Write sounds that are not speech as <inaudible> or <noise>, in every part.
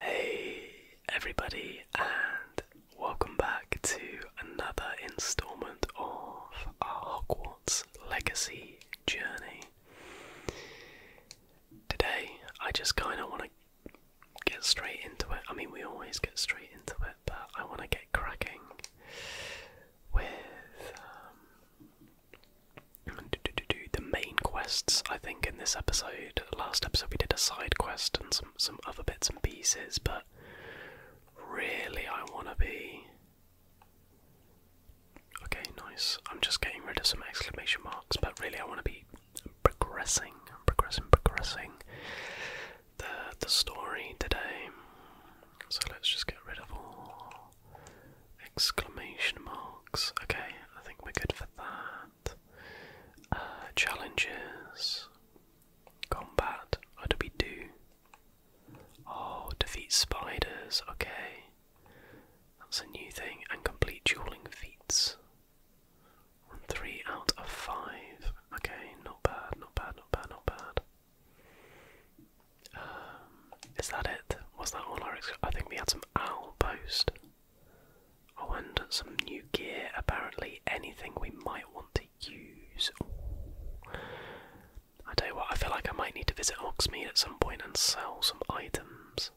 Hey everybody, and welcome back to another installment of our Hogwarts Legacy journey. Today, I just kind of want to get straight into it. I mean, we always get straight into it, but I want to get cracking with um, the main quests, I think, in this episode did last episode we did a side quest and some some other bits and pieces, but really I wanna be Okay, nice. I'm just getting rid of some exclamation marks, but really I wanna be progressing, progressing, progressing the the story today. So let's just get rid of all exclamation marks. Okay, I think we're good for that combat, uh, challenges, combat, what do we do? Oh, defeat spiders, okay. That's a new thing, and complete dueling feats. Three out of five. Okay, not bad, not bad, not bad, not bad. Um, is that it? Was that all our? I think we had some owl post. Oh, and some new gear. Apparently, anything we might want to use. I don't know. I feel like I might need to visit Oxmead at some point and sell some items.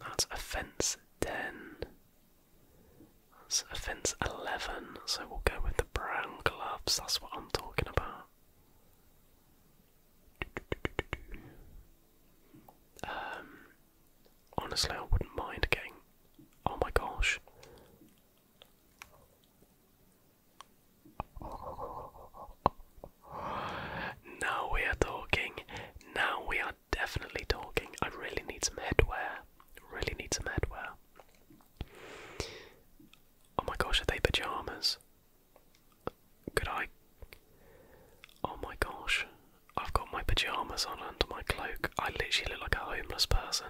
That's offence 10. That's offence 11, so we'll go with the brown gloves, that's what I'm talking about. Um, Honestly, I wouldn't mind getting. Oh my gosh. Now we are talking. Now we are definitely talking. I really need some headwear. Really need some headwear. Oh my gosh, are they pajamas? Could I? Oh my gosh. I've got my pajamas on under my cloak. I literally look like a homeless person.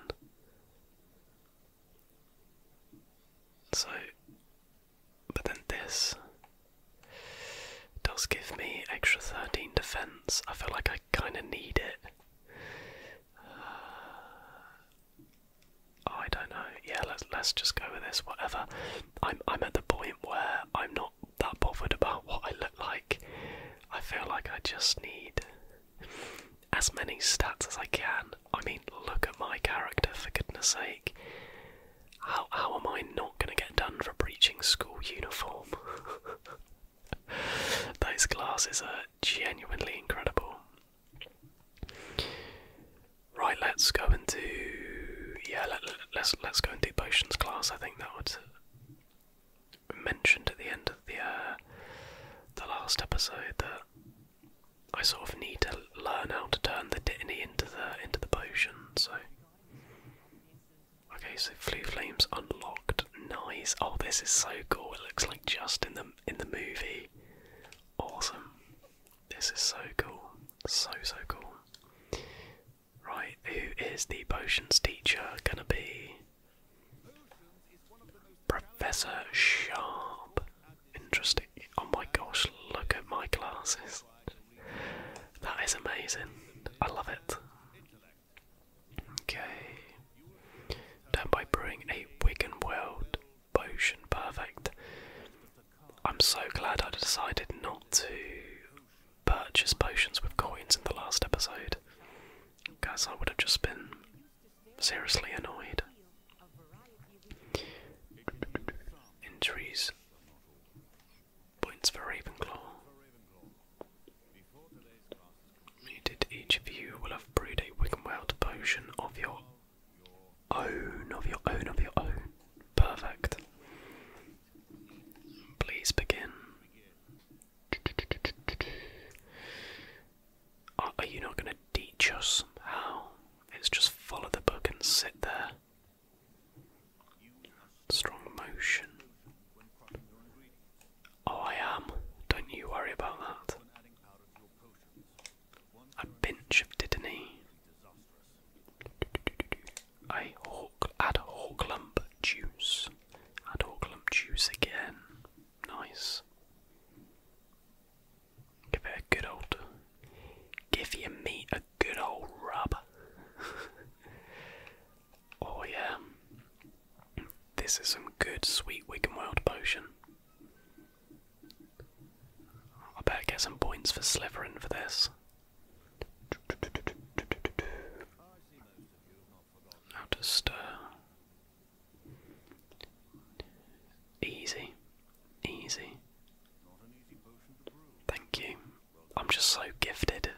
So, but then this does give me extra 13 defense. I feel like I kind of need it. Uh, I don't know. Yeah, let's let's just go with this. Whatever. I'm I'm at the point where I'm not that bothered about what I look like. I feel like I just need as many stats as I can. I mean, look at my character, for goodness sake. How, how am I not going to get done for breaching school uniform? <laughs> Those glasses are genuinely incredible. Right, let's go and do yeah. Let, let's let's go and do potions class. I think that would mentioned at the end of the uh, the last episode that I sort of need to learn how to turn the Dittany into the into the potion. So okay, so flu flames unlocked. Nice. Oh, this is so cool. It looks like just in the in the movie. Awesome. This is so cool. So so cool. Right, who is the potions teacher gonna be? Professor Sharp. Interesting. Oh my gosh, look at my glasses. That is amazing. I love it. Okay. Done by brewing a Wigan World potion. Perfect. I'm so glad I decided not to purchase potions with coins in the last episode. Guys, I would have just been seriously annoyed. Injuries. Points for Ravenclaw. each of you will have brewed a Wiganwout potion of your own, of your own, of your own. Perfect. Please begin. Are, you not going to teach us how? It's just follow the book and sit there. Strong motion. Oh, I am. Don't you worry about that. A pinch of titany. I hawk, add hawk lump juice. Add hawk lump juice again. Nice. Give it a good old. Give your meat a good old rub. <laughs> oh yeah. This is some good sweet Wigan world potion. I better get some points for slivering for this. Now just uh, easy, easy. Thank you. I'm just so gifted.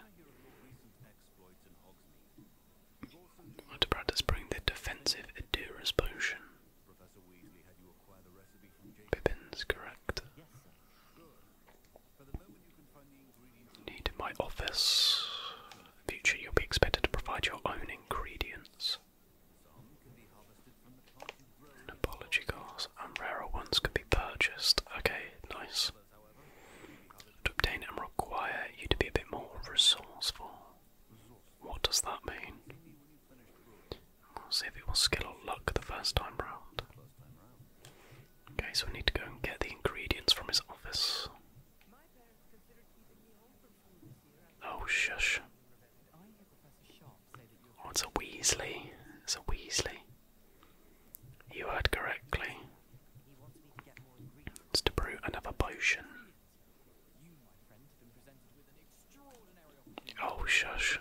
I bring the defensive Adura's potion. Pippin's correct. Need my office. Future, you'll be expected to provide your own ingredients. apology cars and rarer ones can be purchased. Okay, nice. To obtain and require you to be a bit more resourceful. What does that mean? see if it was skill or luck the first time round. Okay, so we need to go and get the ingredients from his office. Oh, shush. Oh, it's a Weasley. It's a Weasley. You heard correctly. It's brew another potion. Oh, shush.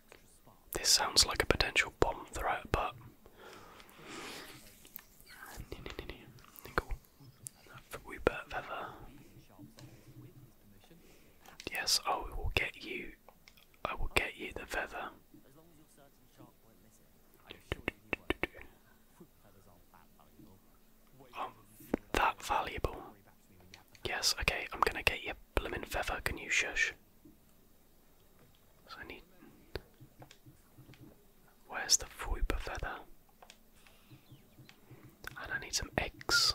This sounds like a potential bomb threat, but. Yes, I will get you. I will get you the feather. Um, that valuable. Yes, okay, I'm gonna get you Bloomin' Feather, can you shush? So I need. Where's the Fuiper Feather? And I need some eggs.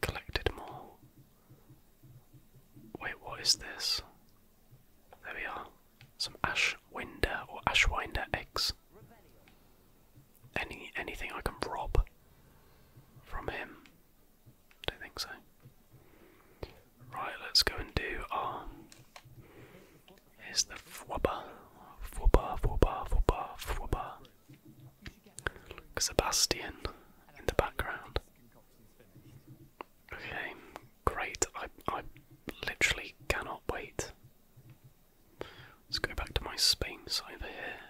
Collected more. Wait, what is this? There we are. Some Ashwinder or Ashwinder eggs. Any anything I can rob from him. Don't think so. Right, let's go and do our. Here's the fwabba, fwabba, fwabba, fwabba, fwabba. Sebastian in the background. Okay, great. I I literally cannot wait. Let's go back to my Spain over here.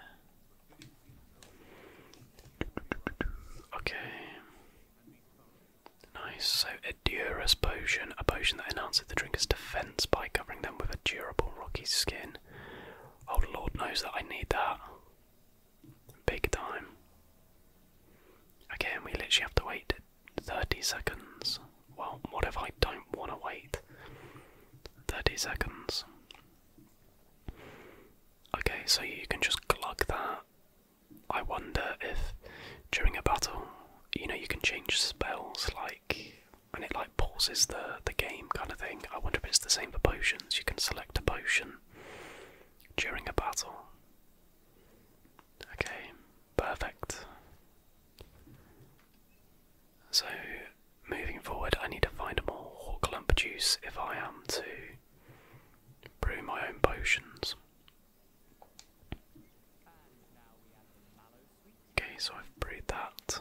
Okay. Nice. So a Durus potion, a potion that enhances the drinker's defense by covering them with a durable rocky skin. Oh lord knows that I need that. Big time. Again, we literally have to wait 30 seconds. Well, what if I don't want to wait? 30 seconds. Okay, so you can just glug that. I wonder if during a battle, you know, you can change spells like and it like pauses the the game kind of thing. I wonder if it's the same for potions. You can select a potion during a battle. Okay, perfect. So moving forward I need to find a more hawk lump juice if I am to brew my own potions. Okay, so I've brewed that.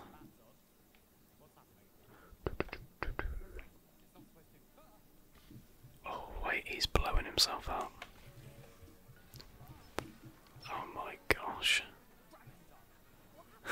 Oh, wait, he's blowing himself up. Oh my gosh. <laughs>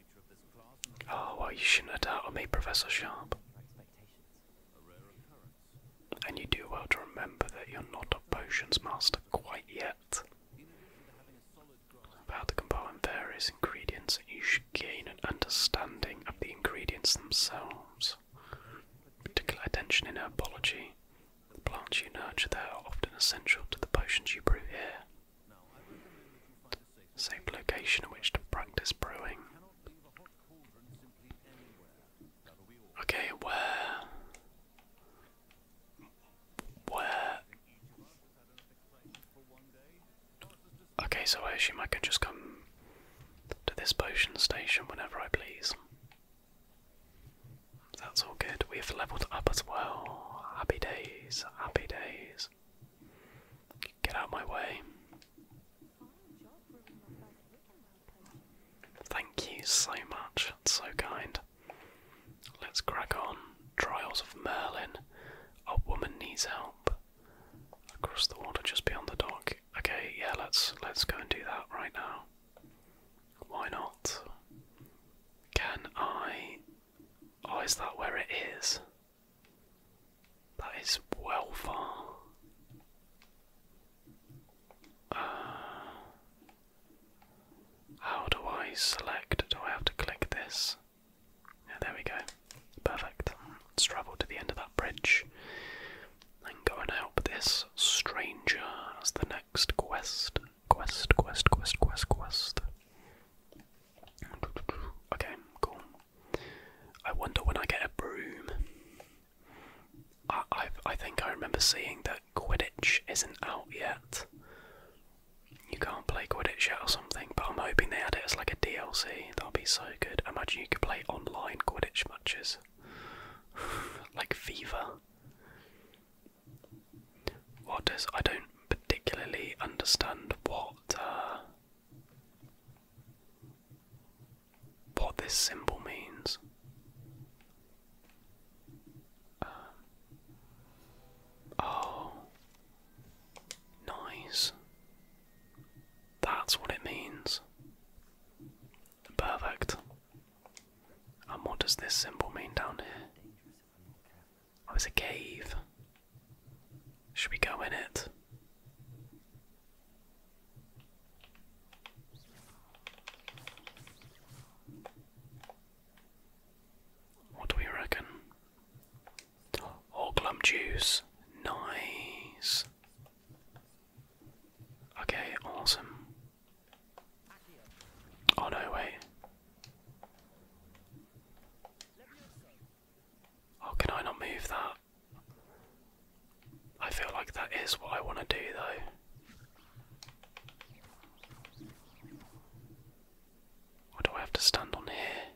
Oh, well, you shouldn't have doubted me, Professor Sharp. And you do well to remember that you're not a potions master quite yet. About to combine various ingredients, you should gain an understanding of the ingredients themselves. Particular attention in herbology. The plants you nurture there are often essential to the potions you brew here. Safe location in which to practice brewing. Okay, where. Where. Okay, so I assume I can just come to this potion station whenever I please. That's all good. We've leveled up as well. Happy days, happy days. Get out my way. Thank you so much, that's so kind. Let's crack on. Trials of Merlin. A woman needs help. Across the water just beyond the dock. Okay, yeah, let's let's go and do that right now. Why not? Can I Oh, is that where it is? That is well far. Uh, how do I select? Do I have to click this? Yeah, there we go. Perfect. let to the end of that bridge and go and help this stranger as the next quest. Quest, quest, quest, quest, quest. Okay, cool. I wonder when I get a broom. I, I, think I remember seeing that Quidditch isn't out yet. You can't play Quidditch yet or something, but I'm hoping they add it as like a DLC. That'll be so good. Imagine you could play online Quidditch matches. <sighs> like fever. What does I don't particularly understand what uh, what this symbol means. Um, oh, nice. That's what it means. Perfect. And what does this symbol mean down here? Oh, it's a cave. Should we go in it? What do we reckon? Oh, glum juice. Nice. Okay, awesome. Oh, no, wait. Oh, can I not move that? I feel like that is what I want to do though. What do I have to stand on here?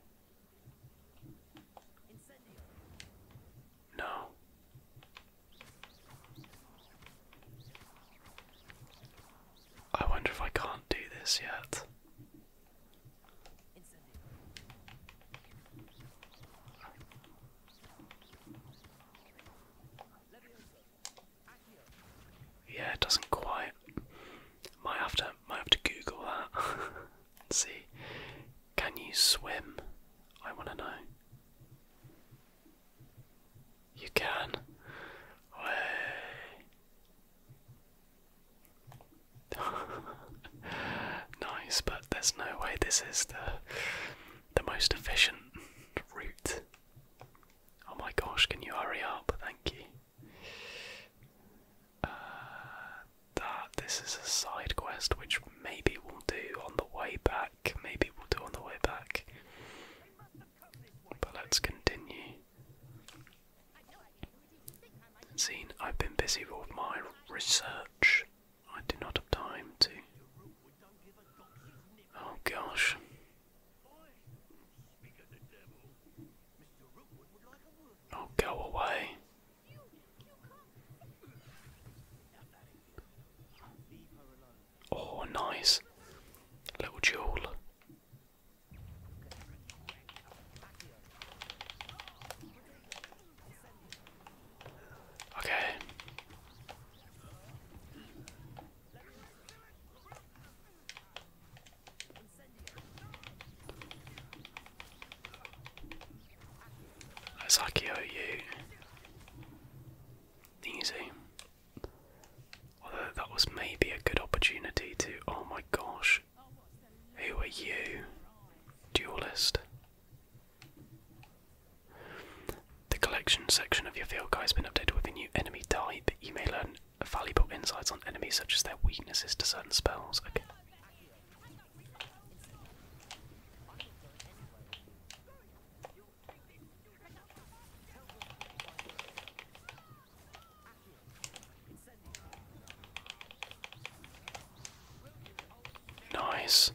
No. I wonder if I can't do this yet. Yeah, it doesn't quite. Might have to might have to Google that <laughs> and see. Can you swim? I wanna know. You can. Way. <laughs> nice, but there's no way this is the the most efficient route. Oh my gosh, can you hurry up? Thank you. Uh, that this is a side quest which maybe we'll do on the way back. Maybe we'll do on the way back. But let's continue seen I've been busy with my research. I do not have time to. Oh gosh. Oh, go away. Oh, nice. Little jewel. Okay. Let's you. Easy. Although that was maybe a good opportunity to. Oh my gosh. Who are you? Duelist. The collection section of your field guide has been updated with a new enemy type. You may learn valuable insights on enemies such as their weaknesses to certain spells. Okay. Nice.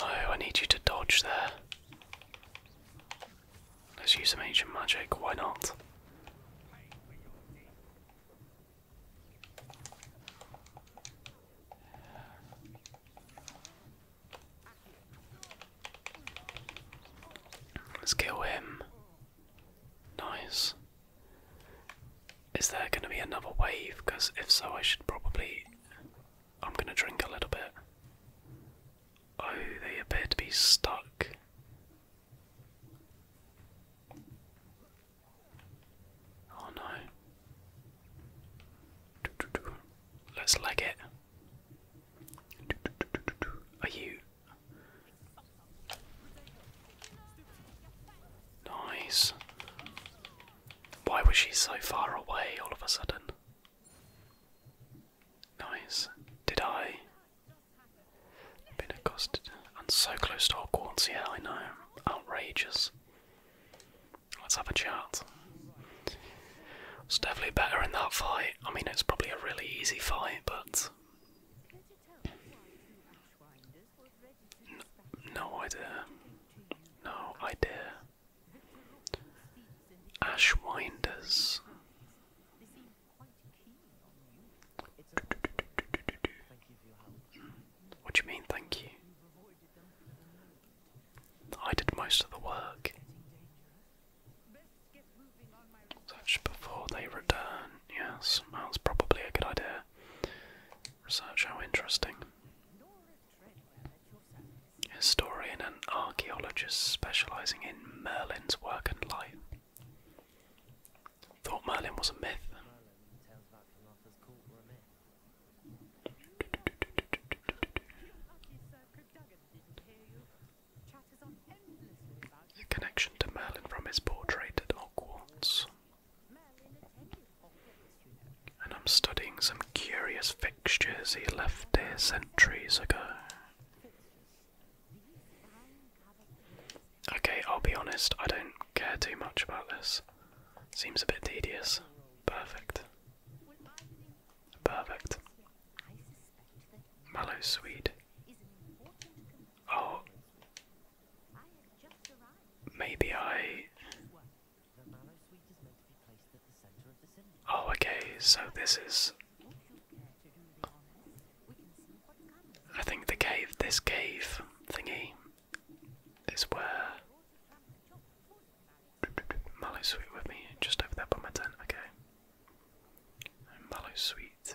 No, I need you to dodge there. Let's use some ancient magic, why not? Let's kill him. Nice. Is there going to be another wave? Because if so, I should probably. I'm going to drink a little bit. Oh, they appear to be stuck. Oh no. Let's leg it. Are you Nice. Why was she so far away all of a sudden? Nice. Did I? Been accosted and so close to Hogwarts, yeah, I know. Outrageous. Let's have a chat. It's definitely better in that fight. I mean, it's probably a really easy fight, but no, idea. dare. No, I Ashwinders. What do you mean, thank you? I did most of the work. Search before they return. Yes, that's probably a good idea. Research how interesting. Historian and archaeologist specializing in Merlin's work and life. Thought Merlin was a myth. A connection to Merlin from his portrait at Hogwarts. And I'm studying some curious fixtures he left here centuries ago. Okay, I'll be honest, I don't care too much about this. Seems a bit tedious. Perfect. Perfect. Mallow sweet. Oh. Maybe I. Oh, okay, so this is. I think the cave, this cave thingy, is where. Mallow sweet with me, just over there by my tent, okay. Mallow sweet.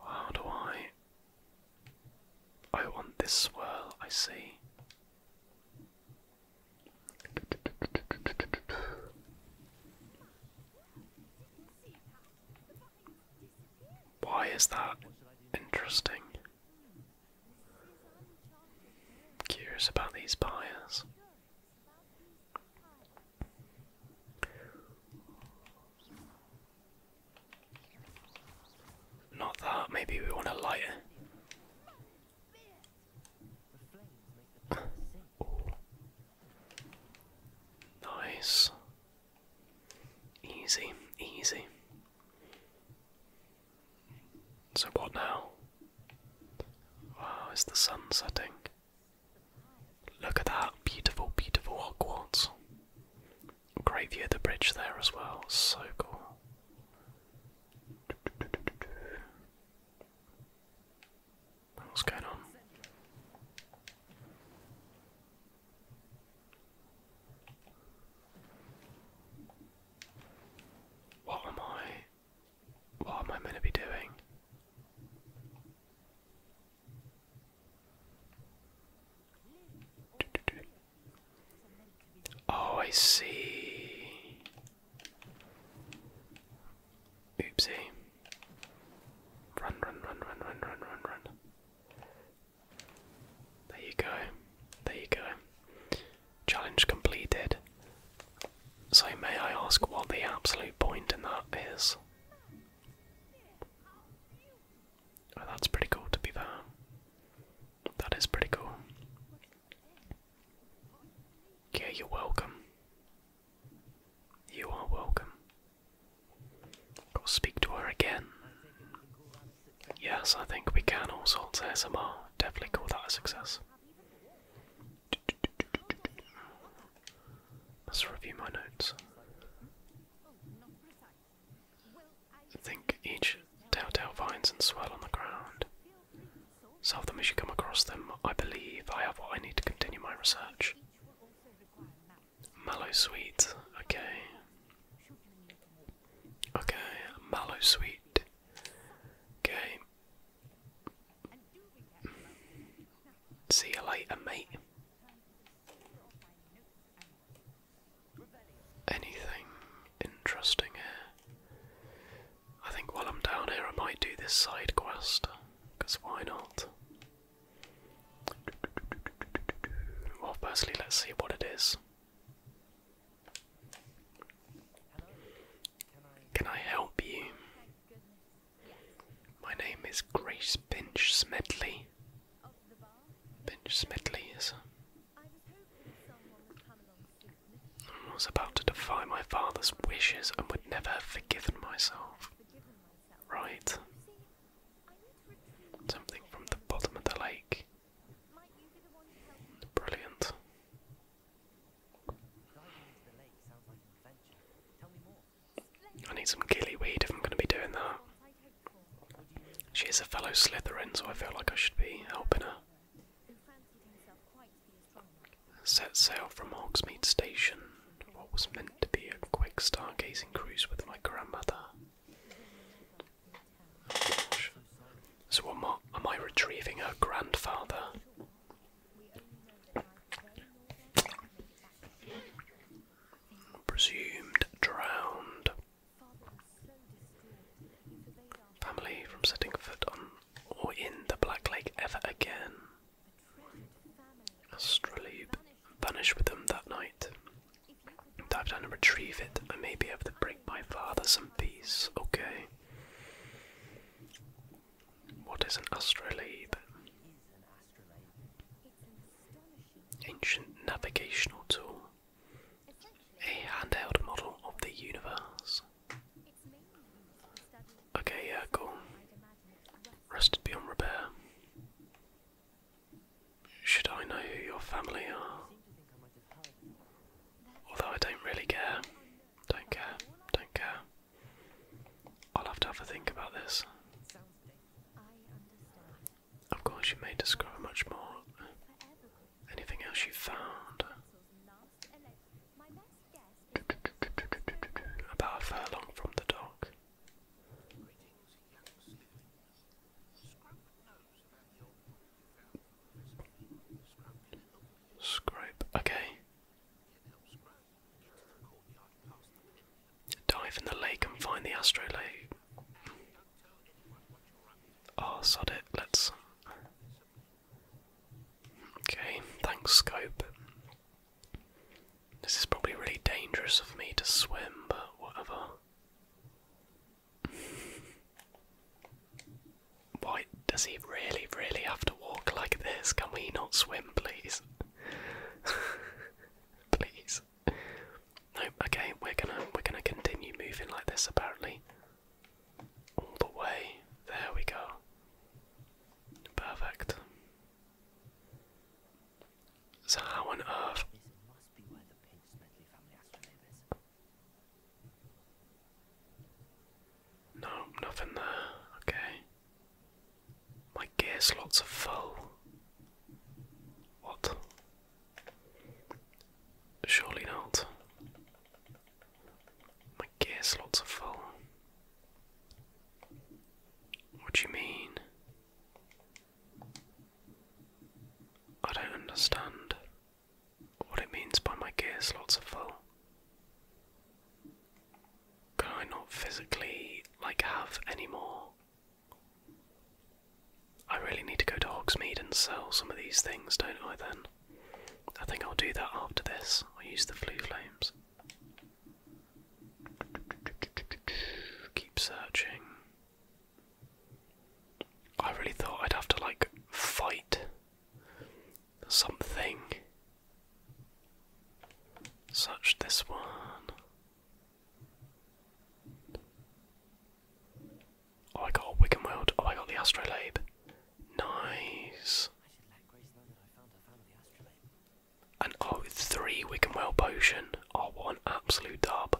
How do I? I want this swirl, I see. Why is that interesting? Curious about these buyers. Not that, maybe we want a light nice. Easy, easy. So, what now? Wow, is the sun setting? Look at that beautiful, beautiful Hogwarts. Great view of the bridge there as well. So cool. What's going on? What am I? What am I going to be doing? Oh, I see. Oopsie. Run, run, run, run, run, run, run, run. There you go. There you go. Challenge completed. So, may I ask what the absolute point in that is? Oh, that's pretty cool to be there. That is pretty cool. Yeah, you're welcome. You are welcome. Go speak to her again. Yes, I think we can all sorts S M R. Definitely call that a success. Let's review my notes. I think each telltale vines and swirl on the ground. Solve them as you come across them. I believe I have what I need to continue my research. Mallow sweet, okay. Okay, mallow sweet. Okay, See you later, mate. Anything interesting here? I think while I'm down here, I might do this side quest, because why not? Well, firstly, let's see what it is. Can I help you? My name is Grace Pinch Smedley. Pinch Smedley is. I was about to defy my father's wishes and would never have forgiven myself. Right. Something from the bottom of the lake. Brilliant. I need some gillyweed if I'm going to be doing that. She's a fellow Slytherin, so I feel like I should be helping her. Set sail from Hogsmeade Station, what was meant to be a quick stargazing cruise with my grandmother. so am am I retrieving her grandfather? Presumed drowned. Family from setting foot on or in the Black Lake ever again. Astrolabe vanished with them that night. Dive down and retrieve it. I may be able to bring my father some peace. Okay. What is an astrolabe? Ancient navigational tool. A handheld model of the universe. Okay, yeah, cool. Rested beyond repair. Should I know who your family are? Although I don't really care. Don't care. Don't care. I'll have to have a think about this. Of course, you may discover much more. Anything else you found? About a furlong from the dock. Scrape, okay. Dive in the lake and find the astrolabe. Oh, sod it. Let's. Okay, thanks, Scope. This is probably really dangerous of me to swim, but whatever. Why does he really, really have to walk like this? Can we not swim, please? <laughs> Please. No, okay, we're gonna we're gonna continue moving like this apparently. All the way. There we go. Perfect. So how on earth no, nothing there. Okay. My gear slots are full. What? Surely not. My gear slots are full. What do you mean? I don't understand what it means by my gear slots are full. Can I not physically like have any more? I really need to go to Hogsmeade and sell some of these things, don't I then? I think I'll do that after this. i use the Flue flames. Keep searching. I really thought I'd have to like fight something such this one. Oh, I got a Wigan World. Oh, I got the Astrolabe. Nice. And oh, three Wigan World potion. Oh, what an absolute dub.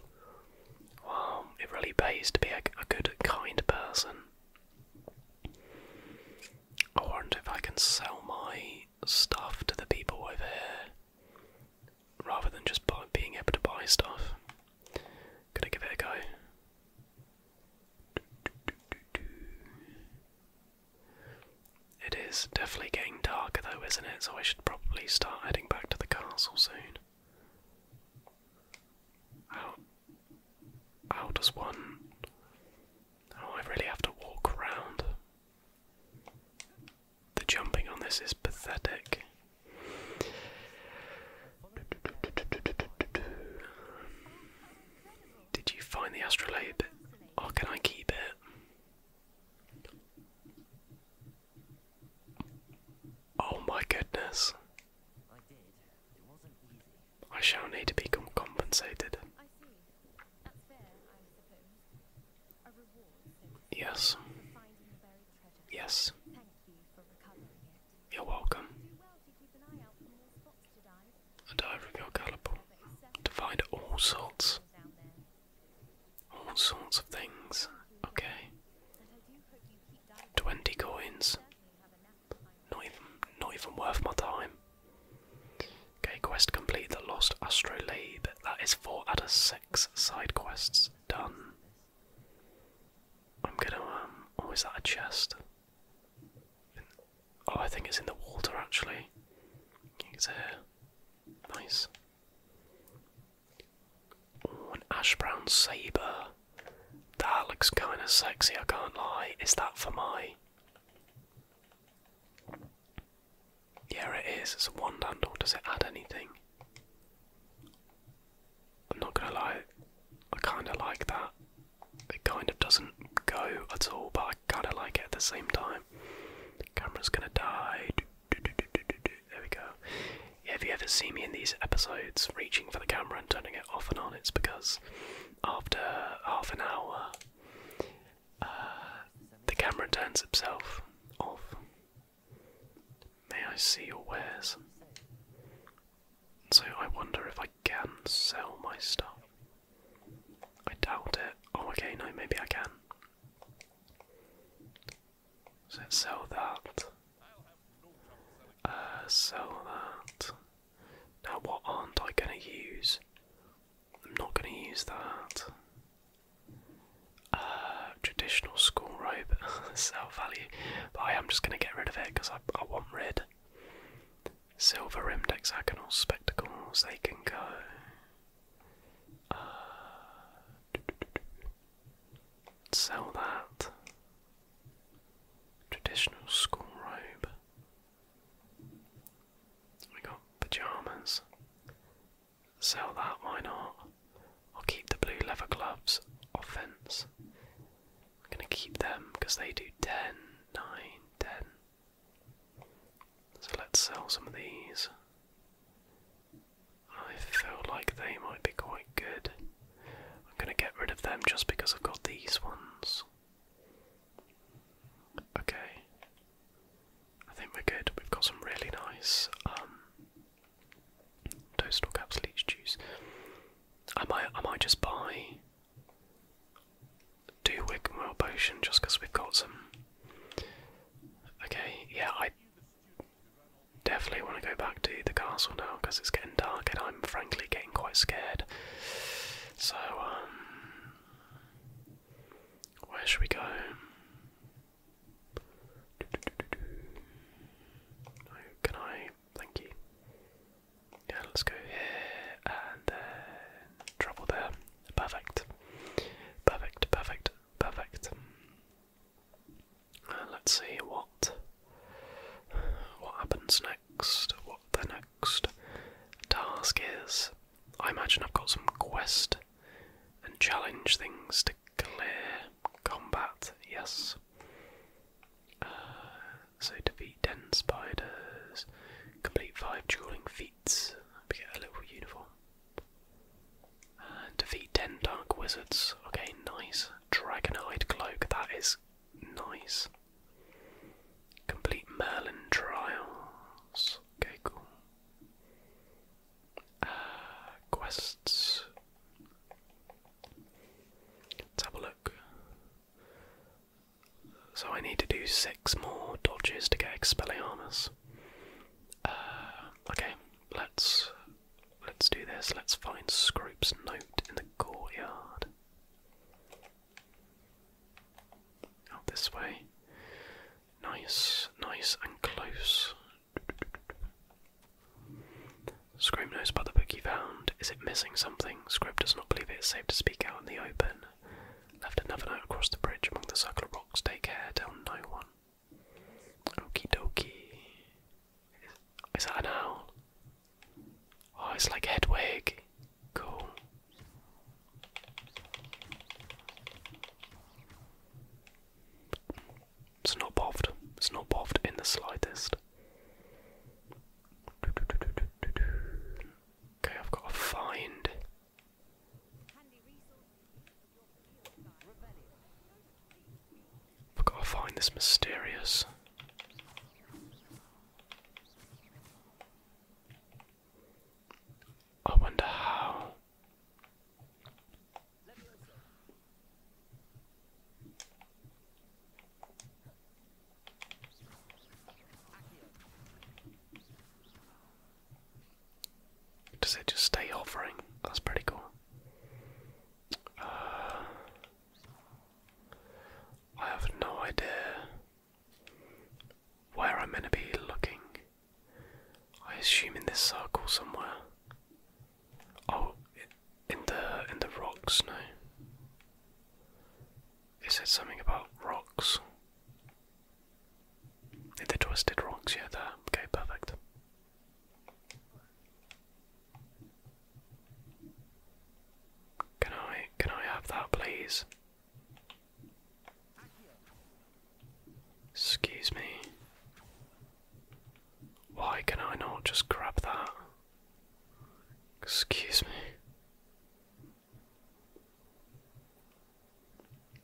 Wow, it really pays to be a, a good, kind person. I wonder if I can sell my stuff to the people over here rather than just being able to buy stuff. Gonna give it a go. It is definitely getting darker though, isn't it? So I should probably start heading back to the castle soon. How, how does one. Oh, I really have to walk around. The jumping on this is pathetic. Did you find the astrolabe? Or can I keep it? Oh my goodness. I shall need to become compensated. Yes. Yes. You're welcome. A diver of your caliber to find all sorts, all sorts of things. Okay. Twenty coins. Not even, not even worth my time. Okay, quest complete the lost astrolabe. That is four out of six side quests done. I'm gonna um oh is that a chest? Oh I think it's in the water actually. It's here. Nice. Oh, an ash brown saber. That looks kind of sexy. I can't lie. Is that for my? Yeah, it is. It's a wand handle. Does it add anything? I'm not gonna lie, I kinda like that. It kind of doesn't go at all, but I kinda like it at the same time. The camera's gonna die. There we go. Yeah, you ever seen me in these episodes reaching for the camera and turning it off and on, it's because after half an hour the camera turns itself off. May I see your wares? So I wonder if I can sell my stuff. I doubt it. Oh, okay, no, maybe I can. So sell that. Uh, sell that. Now, what aren't I gonna use? I'm not going to use that. Uh, traditional school robe, <laughs> sell value, but I am just going to get rid of it because I, want red. Silver rimmed hexagonal spectacles, they can go. Uh, sell that. Traditional school robe. We got pajamas. Sell that, why not? I'll keep the blue leather gloves offense. gonna keep them because they do 10, So let's sell some of these. I feel like they might be quite good. I'm gonna get rid of them just because I've got these ones. Okay. I think we're good. We've got some really nice um toastal caps leech juice. I might I might just buy do Wigwell potion just because we've got some Okay, yeah, I definitely want to go back to the castle now because it's getting dark and I'm frankly getting quite scared. So um, where should we go? can I? Thank you. Yeah, let's go here and then travel there. Perfect. Perfect, perfect, perfect. Uh, let's see what what happens next. What the next task is? I imagine I've got some quest and challenge things to clear combat, yes. Uh, so defeat 10 spiders, complete 5 dueling feats, we get a little uniform. And defeat 10 dark wizards, okay, nice. Dragon-eyed cloak, that is nice. Complete Merlin trials, okay, cool quests. let look. So I need to do six more dodges to get Expelliarmus. Uh, okay, let's let's do this. Let's find Scrope's note in the courtyard. Out this way. Nice, nice and close. Scrim knows about the book he found. Is it missing something? Scrib does not believe it is safe to speak out in the open. Left another note across the bridge among the circle of rocks. Take care, tell no one. Okie dokie. Is that an owl? Oh, it's like Hedwig. Cool. It's not bothered. It's not bothered in the slightest. Okay, I've got to find. I've got to find this mysterious. I wonder how. Does it just stay hovering? That's pretty cool. Uh, I have no idea where I'm going to be looking. I assume in this circle somewhere. Oh, in the in the rocks, no. It said something about rocks. Did the twisted rocks? Yeah, there. Okay, perfect. Can I can I have that, please? Excuse me. Why can I not just grab that? Excuse me.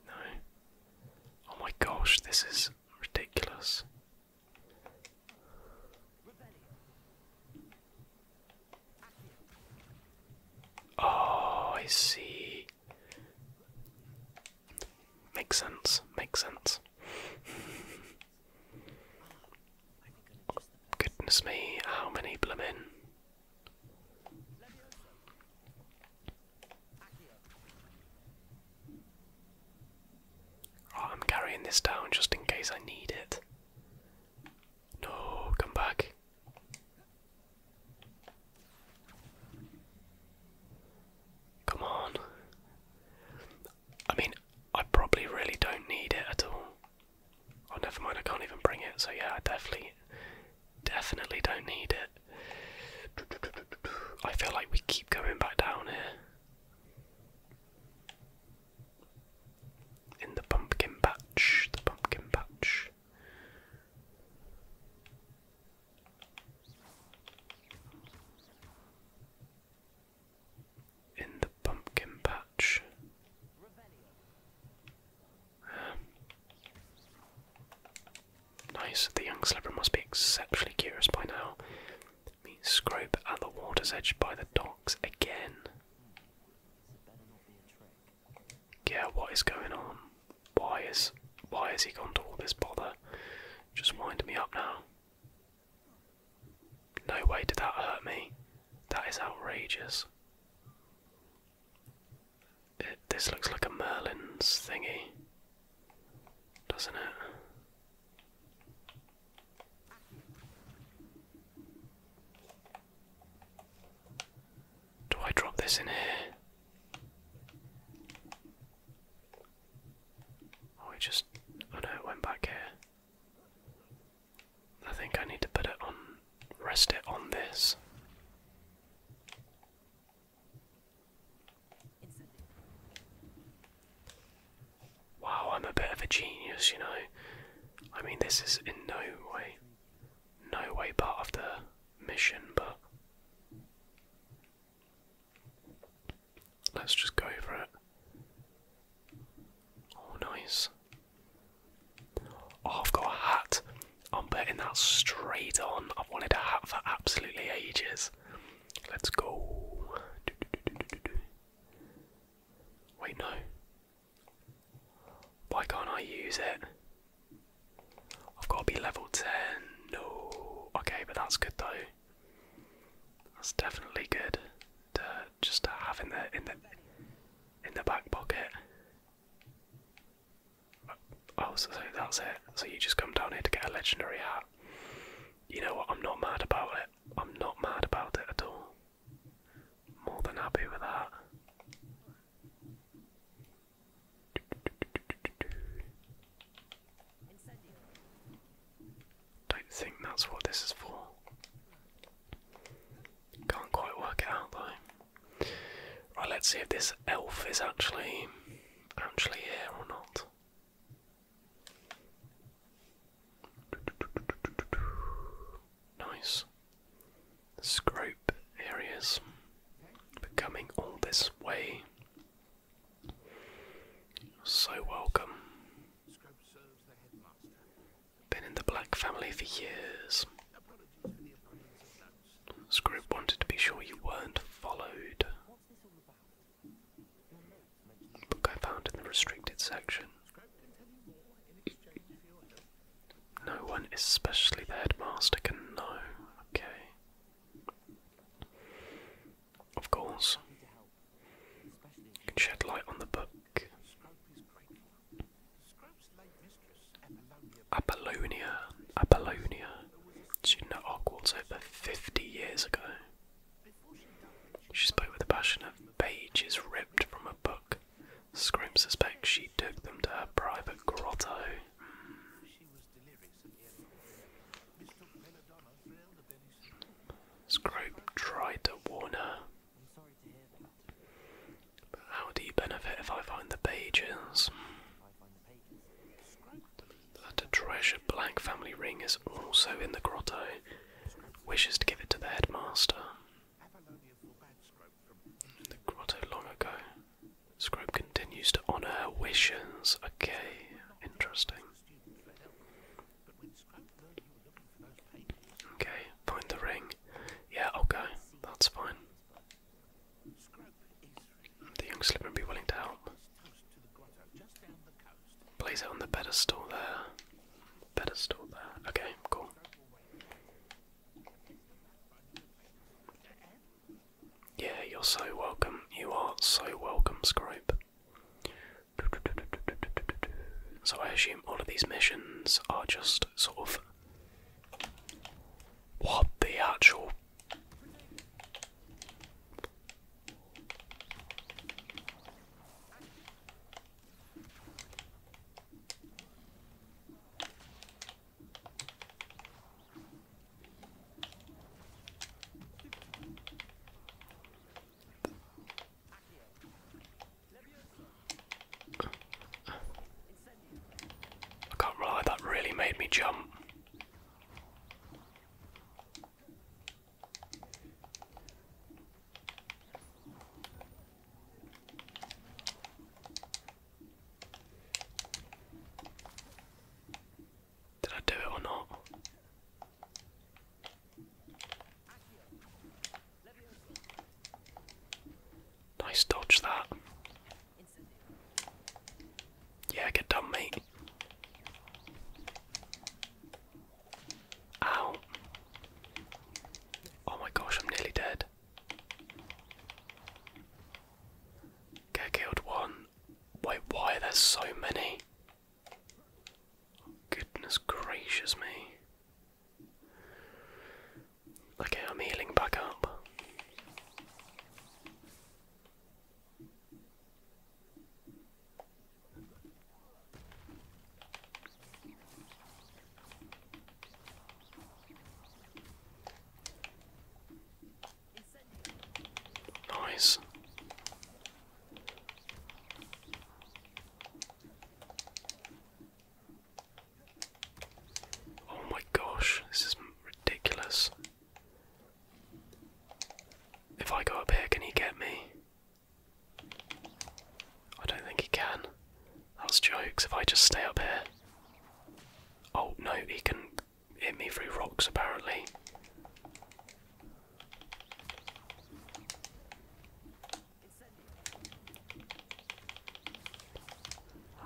No. Oh my gosh, this is ridiculous. Oh, I see. Makes sense, makes sense. Goodness me, how many bloomin'? Oh, I'm carrying this down just in case I need it. No, come back. Come on. I mean, I probably really don't need it at all. Oh, never mind, I can't even bring it, so yeah, I definitely, definitely don't need it. I feel like we keep going back down here. In the pumpkin patch, the pumpkin patch in the pumpkin patch. Um, nice, the young Slipper must be exceptionally curious by now. Meet Scrope at the water's edge by the docks again yeah, what is going on? Why is why has he gone to all this bother? Just wind me up now. No way did that hurt me. That is outrageous. this looks like a Merlin's thingy, doesn't it? Do I drop this in here? Oh, it just. Oh no, it went back here. I think I need to put it on. rest it on this. Wow, I'm a bit of a genius, you know. I mean, this is in no way, no way part of the mission, but let's just go for it. Oh, nice. Oh, I've got a hat. I'm putting that straight on. I've wanted a hat for absolutely ages. Let's go. Wait, no. Why can't I use it? I've got to be level 10. Oh, Okay, but that's good though. That's definitely good to just to have in the in the in the back pocket. Oh, so that's it. So you just come down here to get a legendary hat. You know what? I'm not mad about it. I'm not mad about it at all. More than happy with that. Don't think that's what this is for. Can't quite work it out though. Right, let's see if this elf is actually actually here or not. Nice. Scrope areas coming all this way. so welcome. Been in the Black family for years. Scroope wanted to be sure you weren't followed. Book I found in the restricted section. No one, especially the headmaster, can know. Okay. Of course. can shed light on the book. Apollonia, Apollonia, student at Hogwarts over 50 years ago. She spoke with a passion of pages ripped from a book. Scrimp suspects she took them to her private grotto. Scrope tried to warn her. But how do you benefit if I find the pages? The a treasured black family ring is also in the grotto. Wishes to give it to the headmaster. the grotto long ago. Scrope continues to honour her wishes. Okay, interesting. Okay, find the ring. Yeah, okay, that's fine. The young slipper would be willing to help. Place it on the pedestal there. Pedestal there. Okay, cool. Yeah, you're so welcome. You are so welcome, Scribe. So I assume all of these missions are just sort of what the actual I can't lie, that really made me jump. Did I do it or not? Nice dodge that. Yeah, get done, mate. Ow. Oh my gosh, I'm nearly dead. Get killed one. Wait, why are there so many? Goodness gracious me. Okay, I'm healing back up. Nice. Oh my gosh, this is ridiculous. If I go up here, can he get me? I don't think he can. That's jokes if I just stay up here. Oh no, he can hit me through rocks apparently.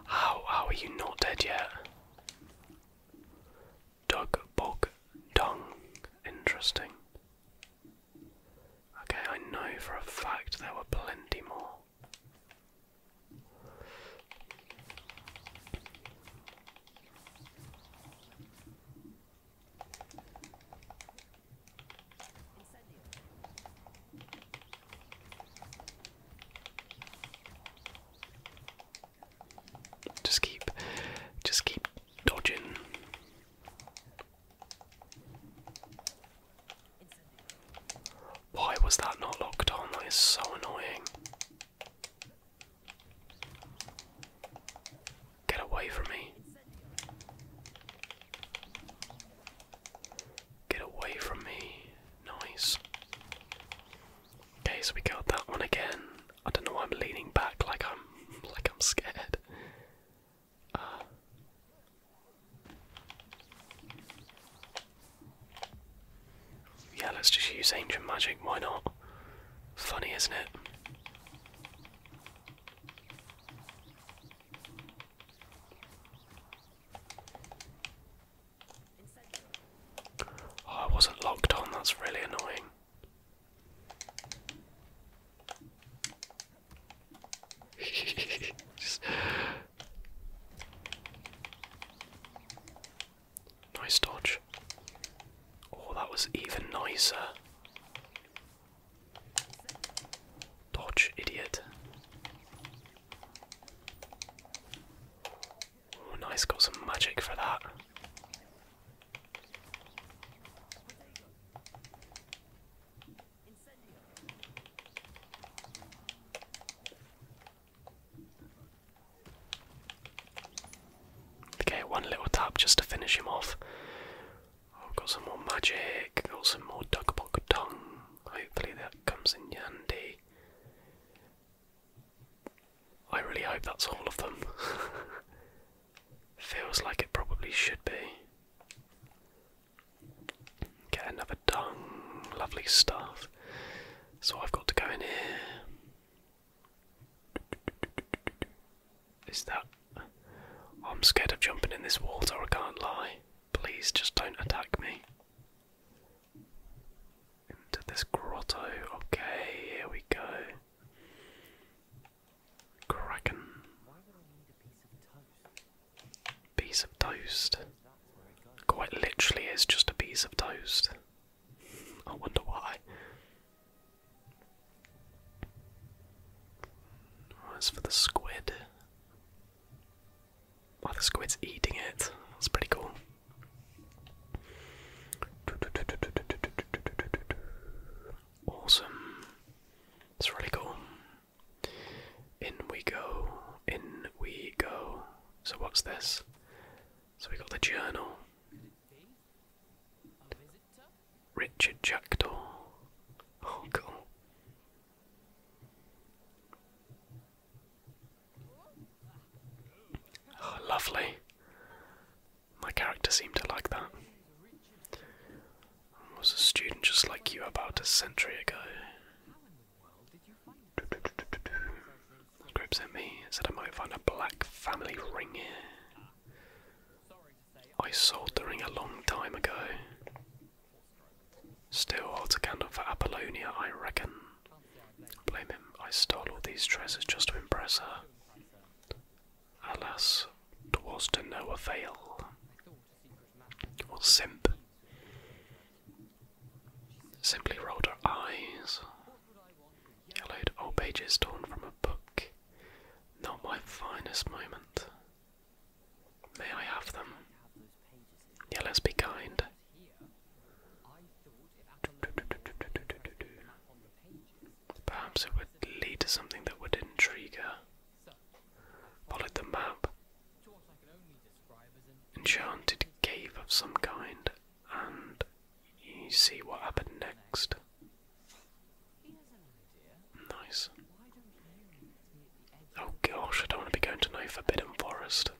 How how are you not dead yet? Dug bog dung. Interesting. Okay, I know for a fact there were plenty more. Just keep, just keep dodging. Why was that not locked on? That is so annoying. Get away from me. Get away from me. Nice. Okay, so we got that one again. I don't know why I'm leaning back like I'm <laughs> like I'm scared. Uh, yeah, let's just use ancient magic, why not? Funny, isn't it? Oh, I wasn't locked on, that's really annoying. <laughs> Nice dodge. Oh, that was even nicer. Dodge, idiot. Oh, nice, got some magic for that. Okay, one little tap just to finish him off. I've oh, got some more magic, got some more duck pocket tongue. Hopefully that comes in handy. I really hope that's all of them. <laughs> Feels like it probably should be. Get another dung. lovely stuff. So I've got to go in here. Is that. Oh, I'm scared of jumping in this water, I can't lie. Please just don't attack me. Into this grotto. Okay, here we go. Kraken. Piece of toast. Quite literally is just a piece of toast. I wonder why. As oh, for the squid, oh, the squid's eating it. That's pretty cool. Awesome. It's really cool. In we go. In we go. So what's this? So we got the journal. Richard Jackdaw. Oh, cool. Oh, lovely. My character seemed to like that. I was a student just like you about a century ago. Grip sent me, said I might find a black family ring here. I sold the ring a long time ago. Still holds a candle for Apollonia, I reckon. Blame him, I stole all these treasures just to impress her. Alas, Alas, 'twas to no avail. was simp. Simply rolled her eyes. Yellowed old pages torn from a book. Not my finest moment. May I have them? Yeah, let's be kind. Perhaps it would lead to something that would intrigue her. Followed the map. Enchanted cave of some kind and you see what happened next. Nice. Oh gosh, I don't want to be going to no forbidden forest.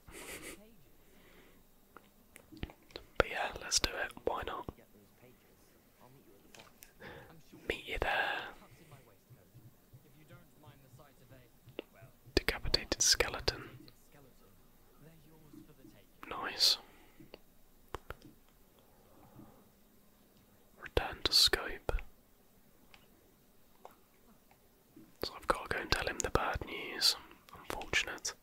but yeah, let's do it. Why not? Meet you there. Decapitated skeleton. Nice. Return to scope. So I've got to go and tell him the bad news. Unfortunate.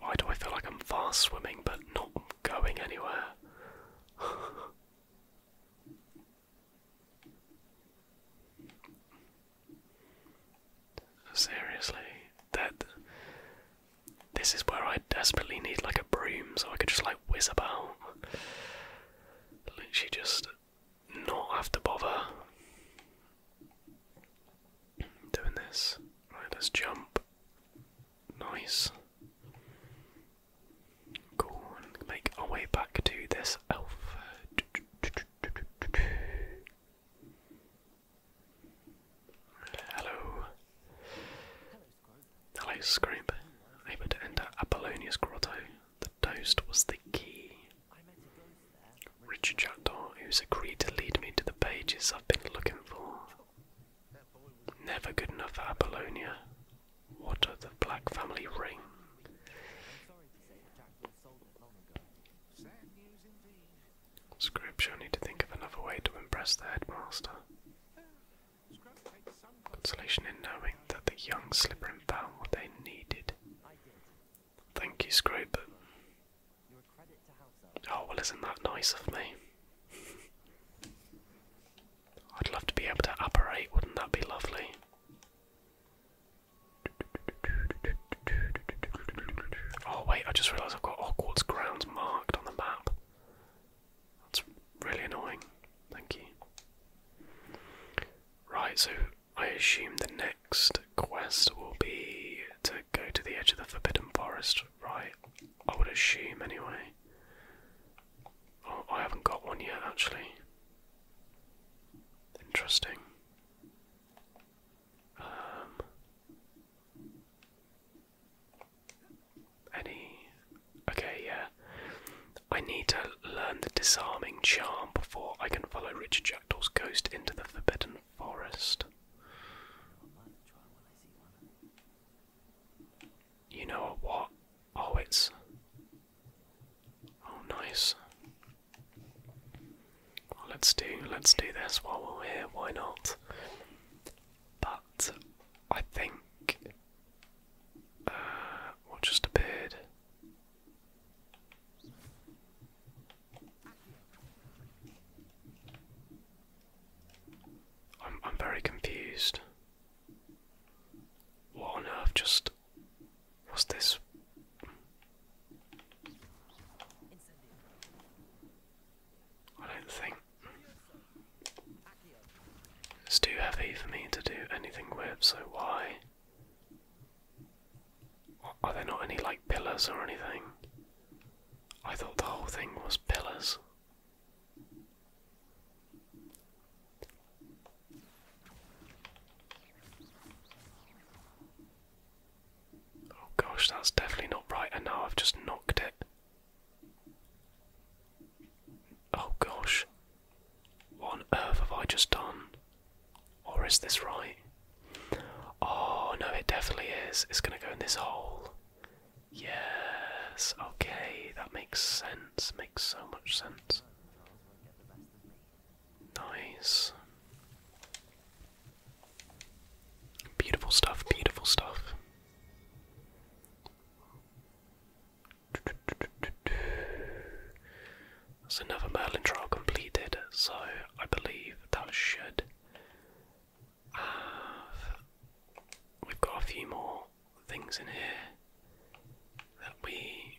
Why do I feel like I'm fast swimming but not going anywhere? <laughs> Seriously, that this is where I desperately need like a broom so I could just like whiz about. Literally just not have to bother doing this. let's jump. Nice. Cool, make our way back to this elf. Hello. I Scroop. Able to enter Apollonius Grotto. The toast was the key. Richard Jackdaw, who's agreed to lead me to the pages I've been looking for. Never good enough for Apollonia. What of the black family ring? Scrooge shall need to think of another way to impress the headmaster. Consolation in knowing that the young Slytherin found what they needed. Thank you, Scrooge, Oh, well isn't that nice of me? <laughs> I'd love to be able to apparate, wouldn't that be lovely? Oh wait, I just realised I've got Hogwarts grounds marked on the map. That's really annoying. Thank you. Right, so I assume the next quest will be to go to the edge of the Forbidden Forest, right? I would assume anyway. Oh, I haven't got one yet actually. Interesting. Um, any? Okay, yeah. I need to learn the disarming charm before I can follow Richard Jackdaw's ghost into the Forbidden Forest. You know what? Oh, it's. Oh, nice let's do let's do this while we're here. Why not? But I think uh, just appeared. I'm I'm very confused. What on earth just What's this? I don't think it's too heavy for me to do anything with, so why? Are there not any like pillars or anything? I thought the whole thing was pillars. Oh gosh, that's definitely not right, and now I've just knocked it. Oh gosh. What on earth have I just done? Or is this right? Oh no, it definitely is. It's gonna go in this hole. Yes, okay, that makes sense. Makes so much sense. Nice. Beautiful stuff, beautiful stuff. That's another Merlin trial completed, so I believe that should We've got a few more things in here that we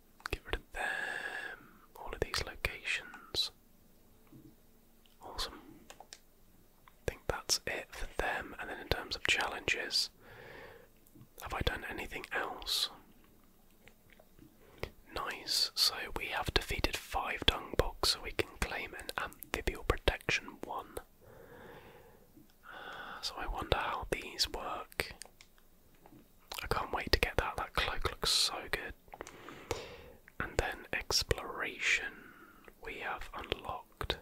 Get rid of them. All of these locations. Awesome. I think that's it for them. And then in terms of challenges, have I done anything else? Nice. So we have defeated five dung bugs, so we can claim an amphibial protection one. So I wonder how these work. I can't wait to get that. That cloak looks so good. And then exploration we have unlocked.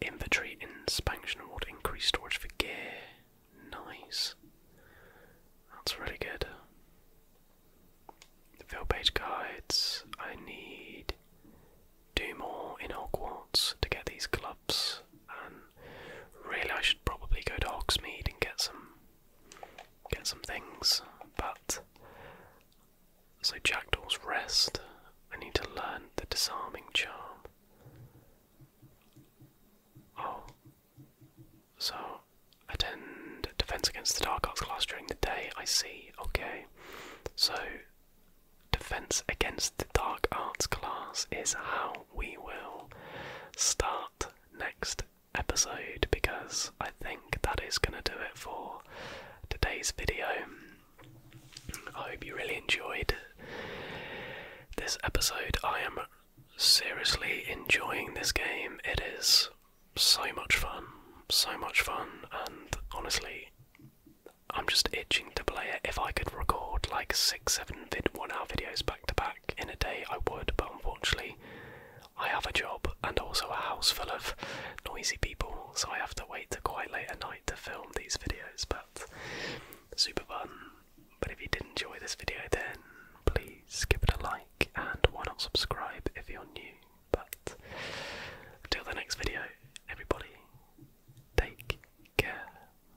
Inventory inspection award increased storage for gear. Nice. That's really good. Field page guides. I need do more in Hogwarts to get these clubs and Really, I should probably go to Hogsmeade and get some get some things, but so Jackdaw's rest. I need to learn the disarming charm. Oh, so attend defense against the dark arts class during the day. I see. Okay, so defense against the dark arts class is how we will start next episode because I think that is going to do it for today's video. I hope you really enjoyed this episode. I am seriously enjoying this game. It is so much fun, so much fun, and honestly, I'm just itching to play it. If I could record like six, hour videos back to back in a day, I would, but unfortunately, I have a job and also a house full of noisy people, so I have to wait till quite late at night to film these videos. But super fun. But if you did enjoy this video, then please give it a like and why not subscribe if you're new. But until the next video, everybody, take care